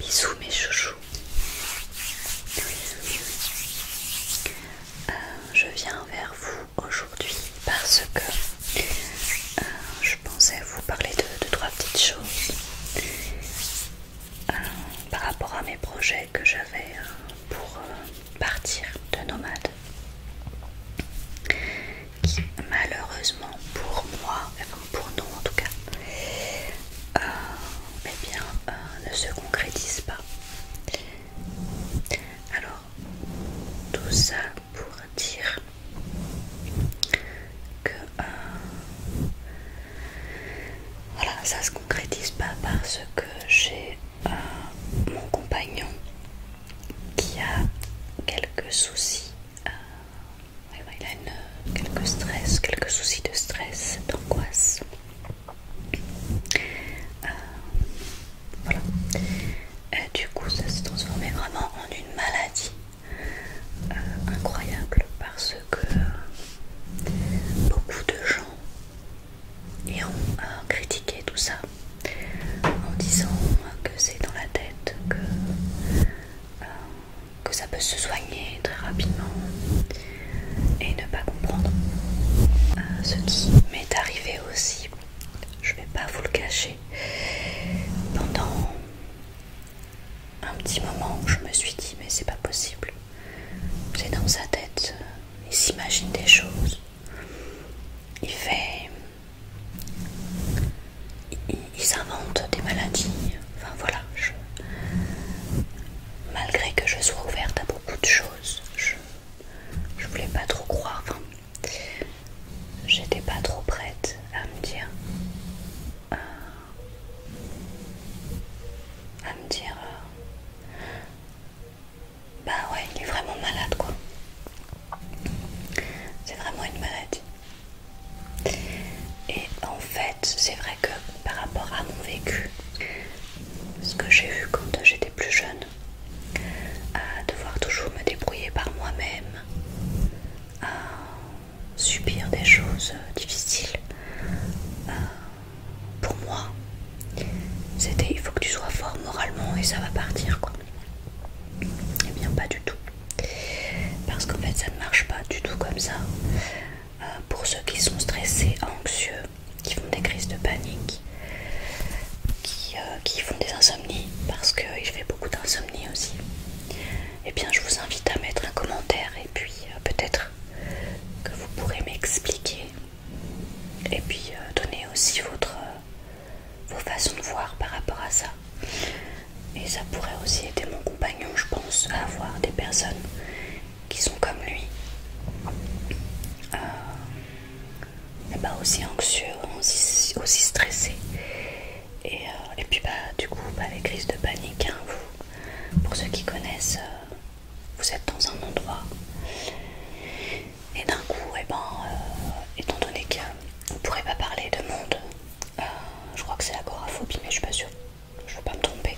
Bisous mes chouchous. Euh, je viens vers vous aujourd'hui parce que euh, je pensais vous parler de, trois petites choses euh, par rapport à mes projets que j'avais pour partir de nomade qui malheureusement pour moi, enfin pour nous en tout cas, euh, eh bien, euh, ne se concrétise pas. Alors, tout ça pour dire que euh, voilà, ça se concrétise pas parce que j'ai mon compagnon qui a quelques soucis il a euh, quelques stress, quelques soucis de stress, d'angoisse. Euh, voilà. Euh, du coup, ça s'est transformé vraiment en une maladie incroyable parce que beaucoup de gens et ont critiqué tout ça en disant que c'est dans la tête que, euh, que ça peut se soigner très rapidement et ne pas comprendre. Euh, ce qui m'est arrivé aussi, je vais pas vous le cacher, pendant un petit moment je me suis dit mais c'est pas possible. C'est dans sa tête, euh, il s'imagine des choses. Il fait ils, inventent des maladies. Enfin voilà, je, malgré que je sois ouverte à beaucoup de choses, je, je voulais pas trop croire. Enfin, j'étais pas trop prête à me dire, euh, à me dire, euh, bah ouais, il est vraiment malade quoi. C'est vraiment une maladie. Et en fait, c'est vrai que par rapport à mon vécu, ce que j'ai eu quand j'étais plus jeune, à devoir toujours me débrouiller par moi-même, à subir des choses difficiles, euh, pour moi, c'était il faut que tu sois fort moralement et ça va partir quoi. Eh bien pas du tout. Parce qu'en fait ça ne marche pas du tout comme ça. Euh, pour ceux qui sont stressés, anxieux, qui font des crises de panique, qui, euh, font des insomnies, parce que je fais beaucoup d'insomnies aussi, eh bien je vous invite à mettre un commentaire et puis euh, peut-être que vous pourrez m'expliquer et puis euh, donner aussi votre, euh, vos façons de voir par rapport à ça. Et ça pourrait aussi aider mon compagnon, je pense, à avoir des personnes qui sont comme lui. mais euh, bah, pas aussi anxieux, aussi, stressé. Et, et puis bah, du coup, bah, les crises de panique, hein, vous, pour ceux qui connaissent, vous êtes dans un endroit et d'un coup, eh ben, euh, étant donné qu'on ne pourrait pas parler de monde, euh, je crois que c'est la l'agoraphobie, mais je suis pas sûre, je veux pas me tromper,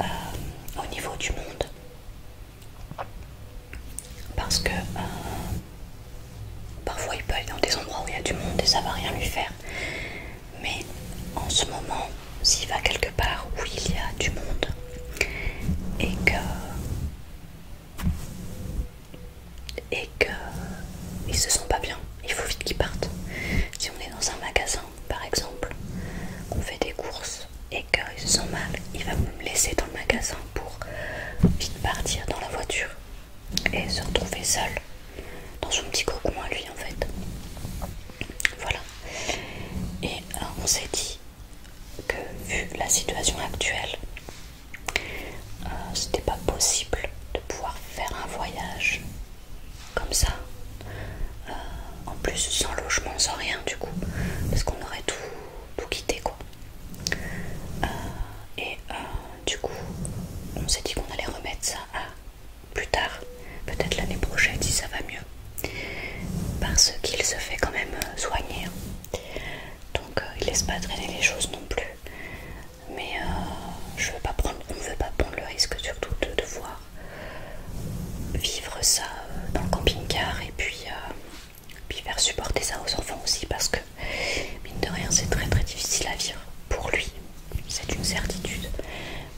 euh, au niveau du monde. Parce que parfois il peut aller dans des endroits où il y a du monde et ça va rien lui faire. Mais en ce moment, s'il va quelque part où il y a du monde, et que et que ils se sentent pas bien. Il faut vite qu'ils partent. Si on est dans un magasin, par exemple, On fait des courses et qu'ils se sent mal, il va me laisser dans le magasin pour vite partir dans la voiture et se retrouver seul dans son petit cocon à lui en fait. Voilà. Et euh, on s'est dit que vu la situation actuelle, euh, c'était pas possible de pouvoir faire un voyage comme ça, euh, en plus sans logement, sans rien du coup, parce qu'on aurait tout, quitté quoi. Euh, et du coup, on s'est dit qu'on allait remettre ça à plus tard peut-être l'année prochaine si ça va mieux, parce qu'il se fait quand même euh, soigner. Hein. Donc euh, il laisse pas traîner les choses non plus. Mais euh, je veux pas prendre, on ne veut pas prendre le risque surtout de devoir vivre ça dans le camping-car et puis, puis faire supporter ça aux enfants aussi parce que mine de rien c'est très très difficile à vivre pour lui, c'est une certitude.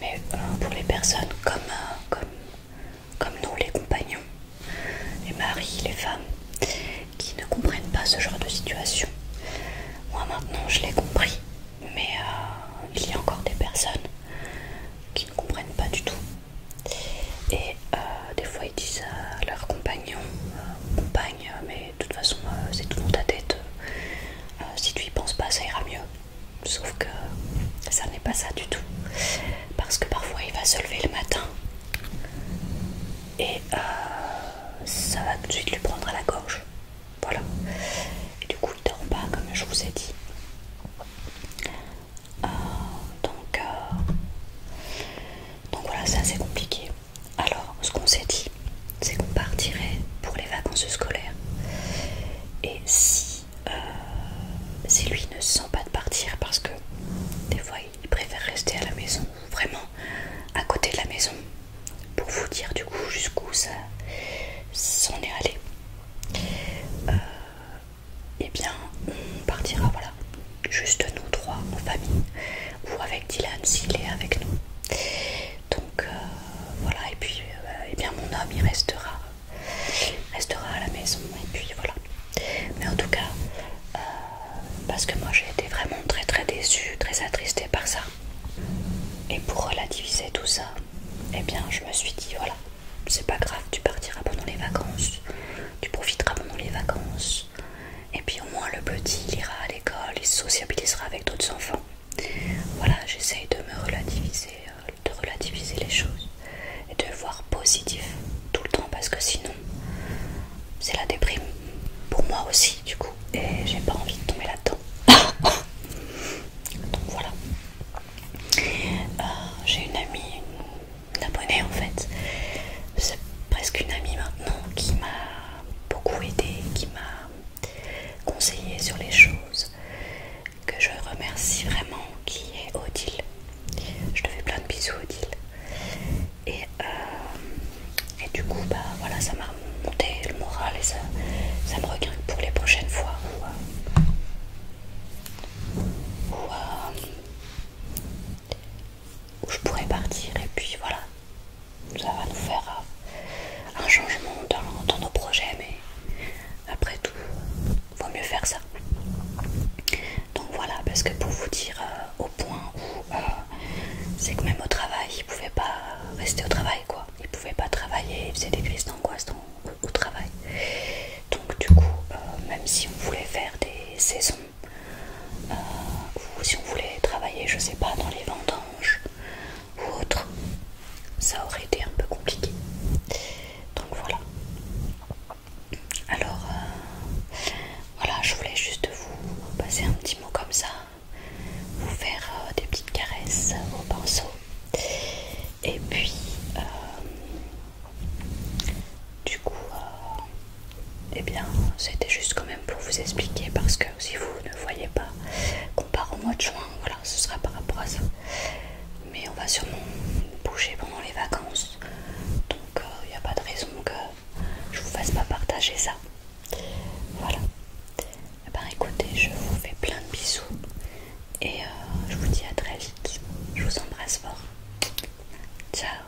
Mais pour les personnes comme, comme comme nous les compagnons, les maris, les femmes, qui ne comprennent pas ce genre de situation. Moi maintenant je l'ai compris, mais euh, il y a encore des personnes qui ne comprennent pas du tout. Et euh, des fois ils disent à leur compagnon, euh, compagne, mais de toute façon c'est tout dans ta tête, si tu y penses pas ça ira mieux. Sauf que ça n'est pas ça du tout. Parce que parfois il va se lever le matin et euh, ça va tout de suite lui prendre à la gorge. Voilà. Et du coup il dort pas comme je vous ai dit. Euh, donc, euh, donc voilà, c'est assez compliqué. Alors ce qu'on s'est dit, c'est qu'on partirait pour les vacances scolaires. Et euh, si, lui ne sent pas de partir parce que des fois il préfère rester à la maison, vraiment à côté de la maison, pour vous dire du coup jusqu'où ça s'en est allé, euh, Eh et bien on partira voilà, juste nous trois en famille ou avec Dylan s'il est avec nous. Donc euh, voilà, et puis euh, eh bien mon homme il restera, restera à la maison, et puis voilà. Mais en tout cas, euh, parce que moi j'ai été vraiment très très déçue, très attristée par ça. Et pour relativiser tout ça, eh bien je me suis dit voilà, c'est pas grave, tu partiras pendant les vacances, tu profiteras pendant les vacances, et puis au moins le petit il ira à l'école, il se sociabilisera avec d'autres enfants. Voilà, j'essaye de me relativiser, euh, de relativiser les choses et de voir positif tout le temps parce que sinon c'est la déprime pour moi aussi du coup et j'ai pas envie de tomber là-dedans. Donc voilà. Euh, j'ai une amie, une abonnée en fait, c'est presque une amie maintenant qui m'a beaucoup aidée, qui m'a conseiller sur les choses que je remercie vraiment qui est Odile. Je te fais plein de bisous Odile. Et, euh, et du coup bah voilà ça m'a monté le moral et ça, ça me regarde pour les prochaines fois euh, euh, où je pourrais partir et puis voilà ça va nous faire un changement dans, nos projets, mais après tout, vaut mieux faire ça. Donc voilà, parce que pour vous dire euh, au point où euh, c'est que même au travail, ils pouvaient pas rester au travail quoi. ne pouvaient pas travailler, ils faisaient des crises d'angoisse au, travail. Donc du coup, euh, même si on voulait faire des saisons, ou si on voulait travailler, je sais pas, dans les ventes ou autre, ça aurait été un peu compliqué. Donc voilà. Alors euh, voilà, je voulais juste vous passer un petit mot comme ça, vous faire euh, des petites caresses euh, au pinceau. Et puis du coup, eh bien, c'était juste quand même pour vous expliquer parce que si vous ne voyez pas qu'on part au mois de juin, voilà, ce sera par rapport à ça. Mais on va sûrement bouger pendant les vacances, donc il euh, n'y a pas de raison que je vous fasse pas partager ça. Voilà. Eh ben, écoutez, je vous fais plein de bisous et euh, je vous dis à très vite. Je vous embrasse fort. Ciao.